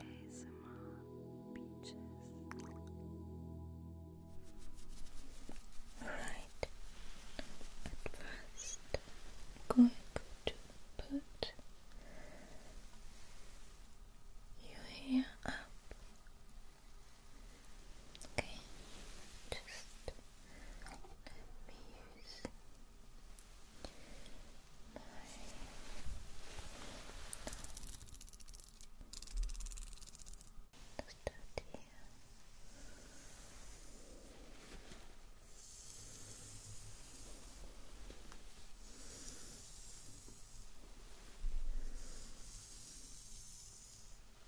ASMR Beaches. Alright, at 1st going to put your hair up. Okay, just let me use my Let's do it here. Okay.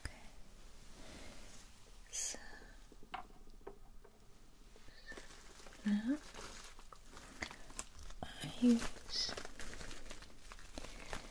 Okay. So now I use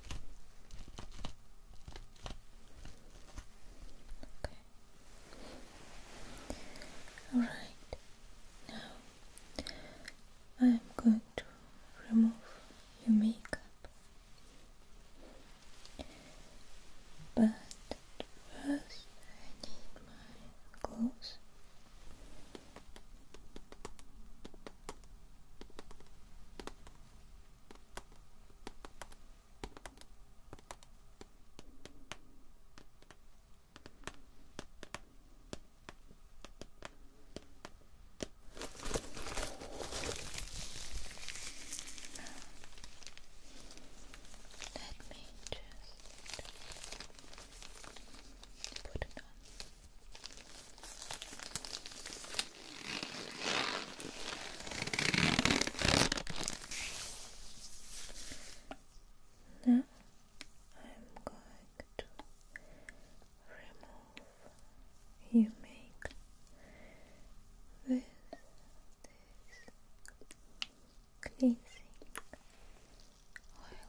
Okay. All right. Now I'm going to remove your makeup. But first I need my gloves. Let me just put it on. Now I'm going to remove you with this cleansing oil.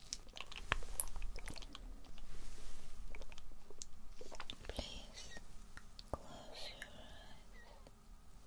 Please close your eyes and relax. Eyes.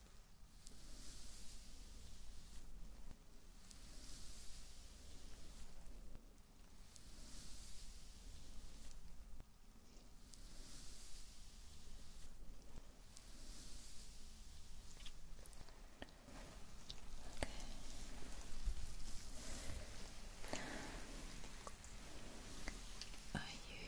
I you?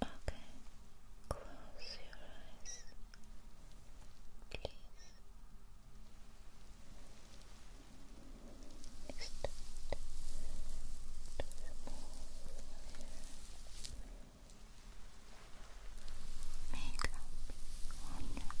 Okay, close your eyes, please. Next, Makeup on your eyes.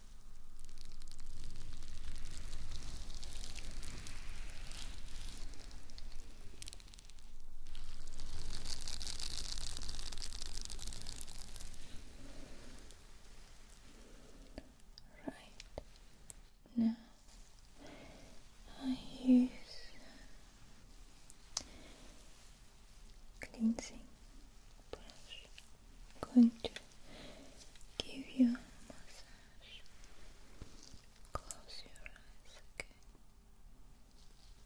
Right now, I use cleansing brush. going to give you a massage. Close your eyes, okay?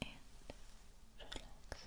And relax.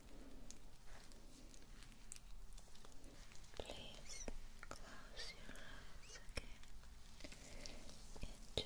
Please close your eyes again and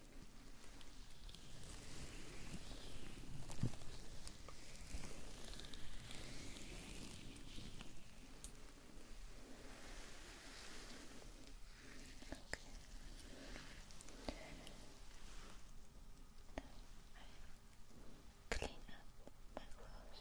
Clean up my clothes.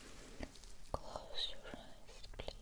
Close your eyes, please. Here's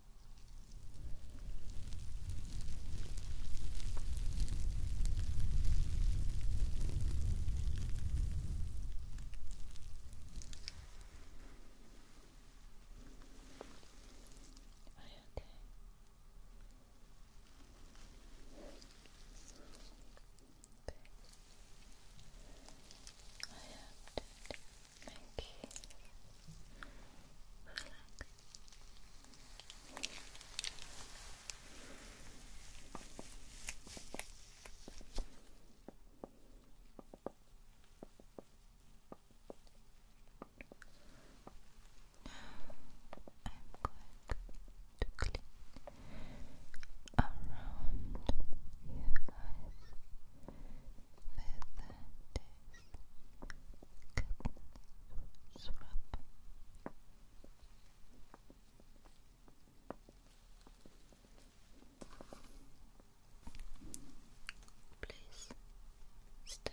okay? Okay. I have to do Okay. I'm going to clean around you guys with swap. Please stay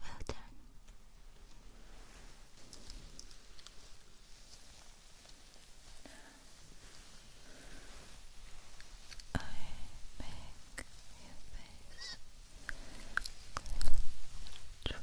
Well done. I make your face dry.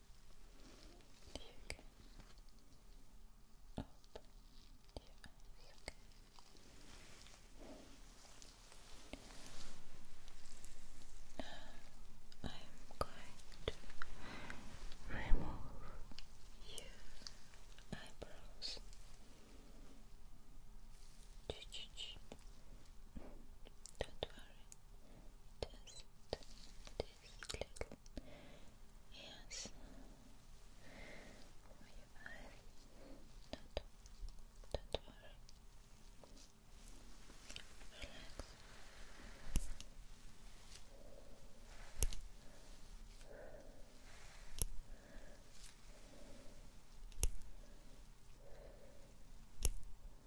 You I'm going to remove your eyebrows. Don't worry, just this little Yes. Don't, don't worry. Relax. Relax.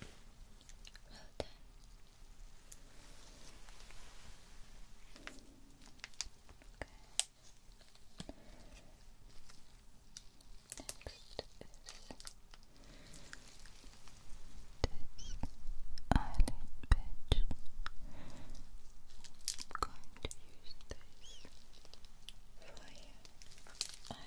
Well done. Okay. Next is this eyelid patch. I'm going to use this for your eyelid.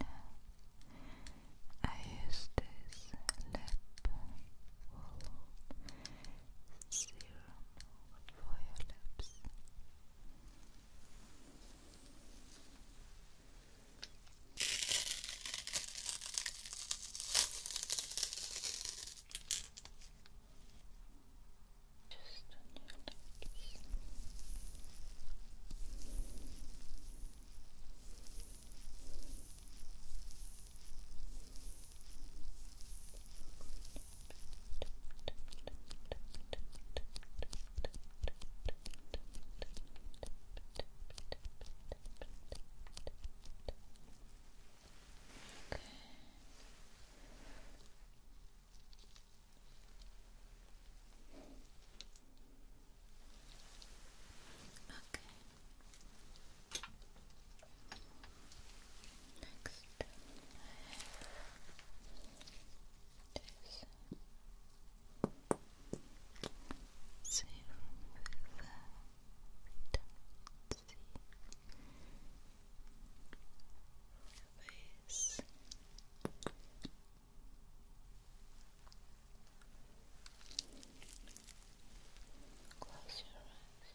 now I use this lip serum for your lips. Just on your legs. Just Okay. Okay. Next, I have this. Serum with vitamin C. Face. Close your eyes.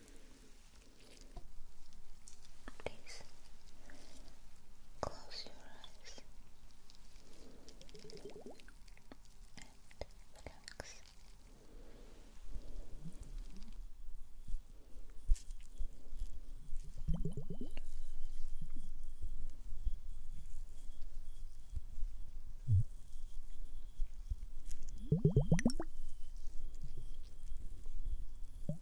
Please close your eyes and relax.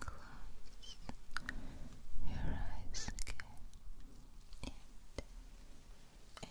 Close your eyes again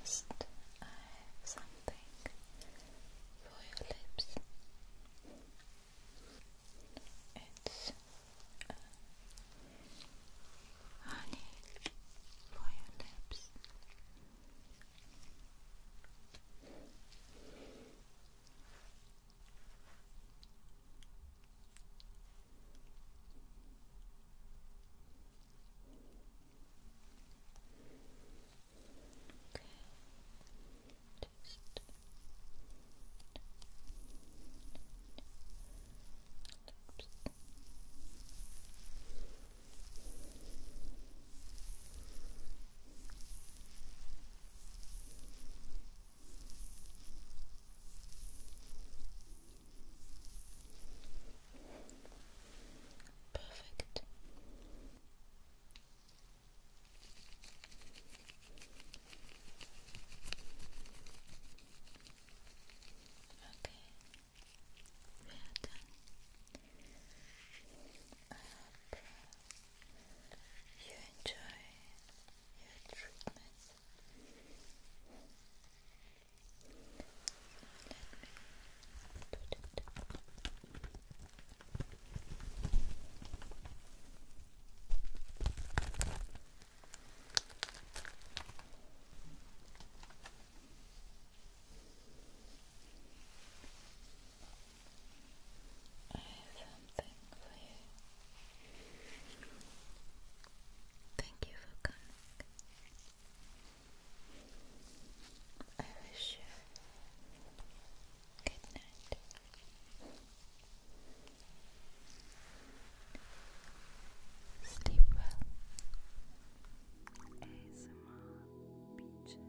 Last, I have something for your lips. It's uh, honey for your lips. Okay. Just Perfect. Okay, we done. you enjoy your treatment. let me do that. I have something for you. Thank you for coming. I wish you Good night. Sleep well. ASMR Beaches.